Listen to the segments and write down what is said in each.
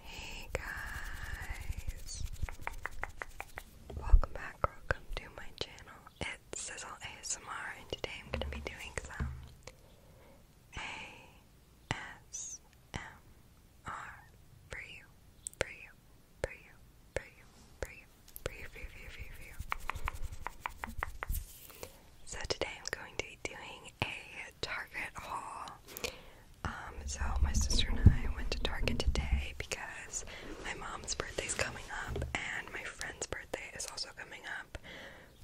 Hey guys! Welcome back, welcome to my channel. It's Sizzle ASMR, and today I'm going to be doing some ASMR for you, for you, for you, for you, for you, for you, for you, for you, for you, So today I'm going to be doing a Target haul. Um, so my sister and I went to Target today because my mom's birthday is coming up and my friend's birthday is also coming up.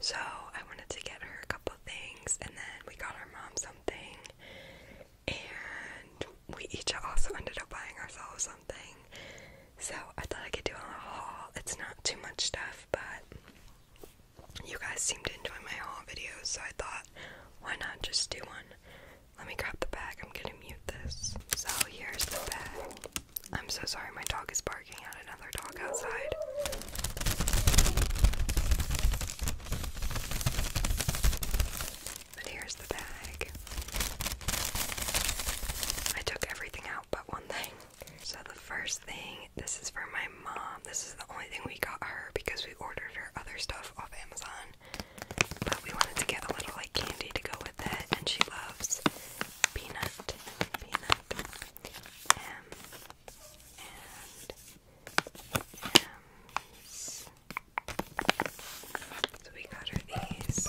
So I wanted to get her a couple things and then we got our mom something and we each also ended up buying ourselves something. So I thought I could do a little haul. It's not too much stuff, but you guys seem to enjoy my haul videos, so I thought, why not just do one? Let me grab the bag. I'm gonna mute this. So here's the bag. I'm so sorry, my dog is barking at another dog outside. But here's the bag. I took everything out but one thing. So the first thing, this is for my mom. This is the only thing we got her because we ordered her other stuff off Amazon. But we wanted to get a little like candy to go with it, and she loves peanut, peanut, M, and M's. So we got her these.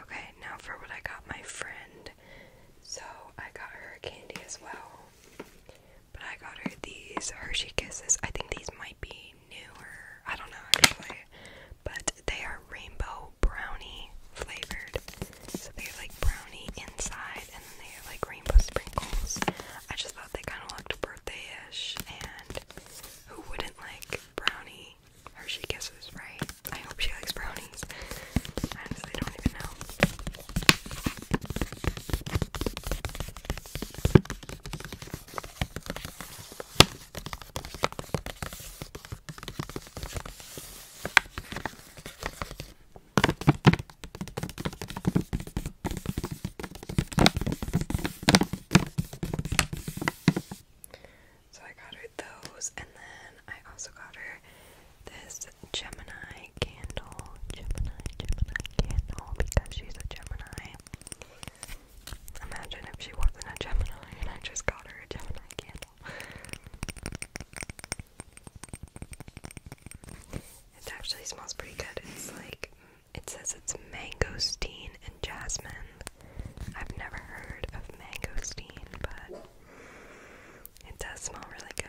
Okay, now for what I got my friend. So I got her candy as well. But I got her these Hershey Kisses. I think these might be newer. I don't know actually. But they are rainbow brownie flavored. So they're like brownie inside and then they are like rainbow sprinkles. I just thought they kind of looked birthday-ish, and who wouldn't like brownie Hershey Kisses, right? I hope she likes brownies. I don't even know. So I got her those, and then I also got her this Gemini candle. Gemini, Gemini candle, because she's a Gemini. Imagine if she wasn't a Gemini and I just got her a Gemini candle. It actually smells pretty good. It's like it says it's mango steam and jasmine. I've never heard of mango steam, but it does smell really good.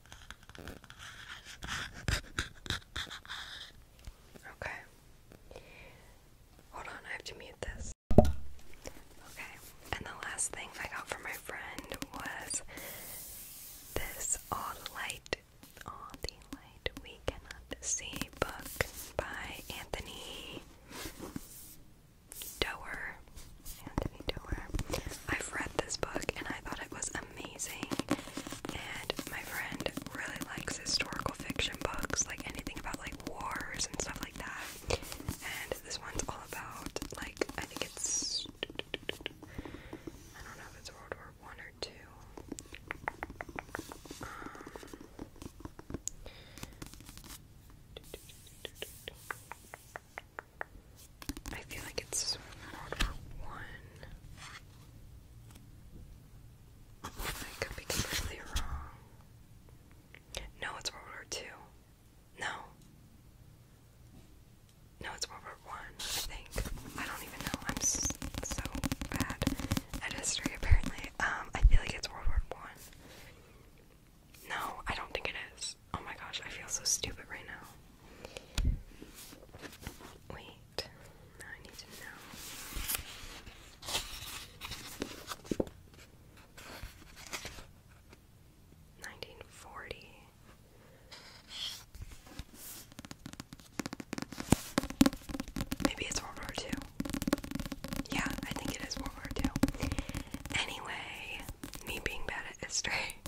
Okay. Hold on, I have to mute this. Okay, and the last thing I got from my friend was this All the Light, All the Light We Cannot See book by Anthony Doer. Anthony Miller. I've read this book and I thought it was amazing. And my friend really likes historical fiction books, like anything about like wars and stuff like that. And this one's all about like I think it's I don't know if it's World War One or two. Um, I feel like it's more for one. I could be completely wrong. No, it's World War Two. No. No, it's World War One. I, think. I don't even know. I'm so bad at history. Apparently, um, I feel like it's World War One. No, I don't think it is. Oh my gosh, I feel so stupid right now. Wait, now I need to know. 1940. Maybe it's World War II. Yeah, I think it is World War II. Anyway, me being bad history.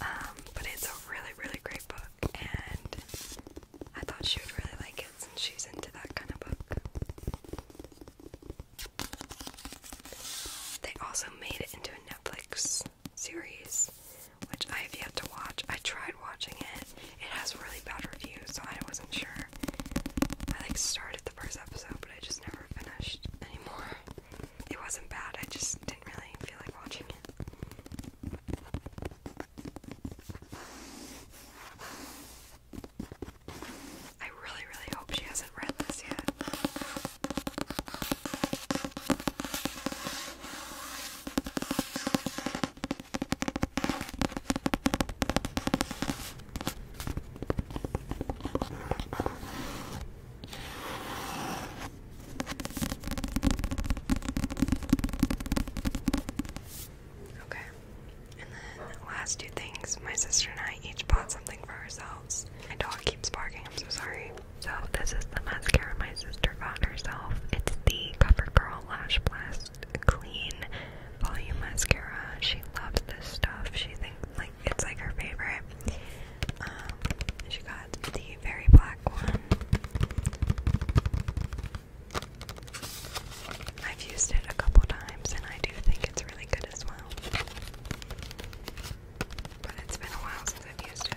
Um, but it's a really, really great book, and I thought she would really like it since she's into that kind of book. They also made it into a Netflix series, which I have yet to watch. I tried watching it. It has really bad reviews, so I wasn't sure. I like started the first episode, but I just never finished anymore it wasn't bad, I just didn't really feel like watching it. I really, really hope she hasn't read this yet. Okay. And then last two things, my sister and I each bought something for ourselves. My dog keeps barking, I'm so sorry. So this is the mascara my sister bought herself. It's the CoverGirl Lash Blast Clean Volume Mascara. She loves this stuff. She thinks like it's like her favorite. Um, she got the very black one. I've used it a couple times and I do think it's really good as well. But it's been a while since I've used it.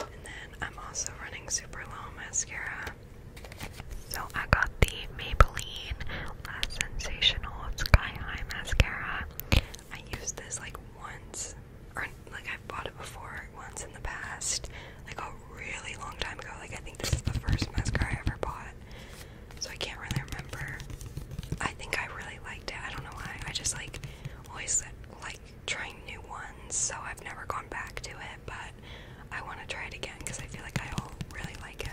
And then I'm also running super long mascara. So I got the Maybelline La Sensational Sky High Mascara. I used this like once, or like I've bought it before once in the past, like a really long time ago. Like I think this is the first mascara I ever bought. So I can't really remember. I think I really liked it. I don't know why. I just like always like trying new ones, so I've never gone back to it, but I want to try it again because I feel like I'll really like it.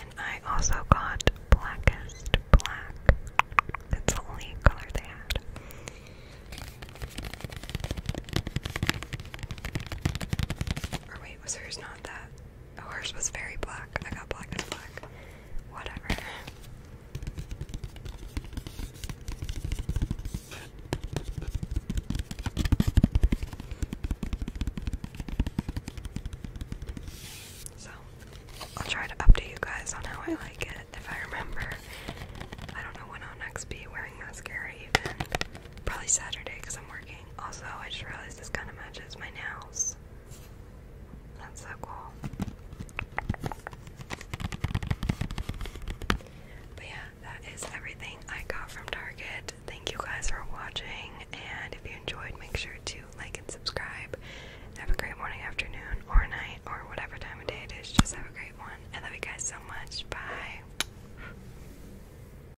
And I also got Blackest Black. That's the only color they had. Or wait, was hers not that? Hers was very black. I got black and black. Whatever. So, I'll try to update you guys on how I like it if I remember. I don't know when I'll next be wearing mascara, even. Probably Saturday because I'm working. Also, I just realized this kind of matches my nails. That's so cool. But yeah, that is everything I got from Target. Thank you guys for watching, and if you enjoyed, make sure to like and subscribe. Have a great morning, afternoon, or night, or whatever time of day it is. Just have a great one. I love you guys so much. Bye.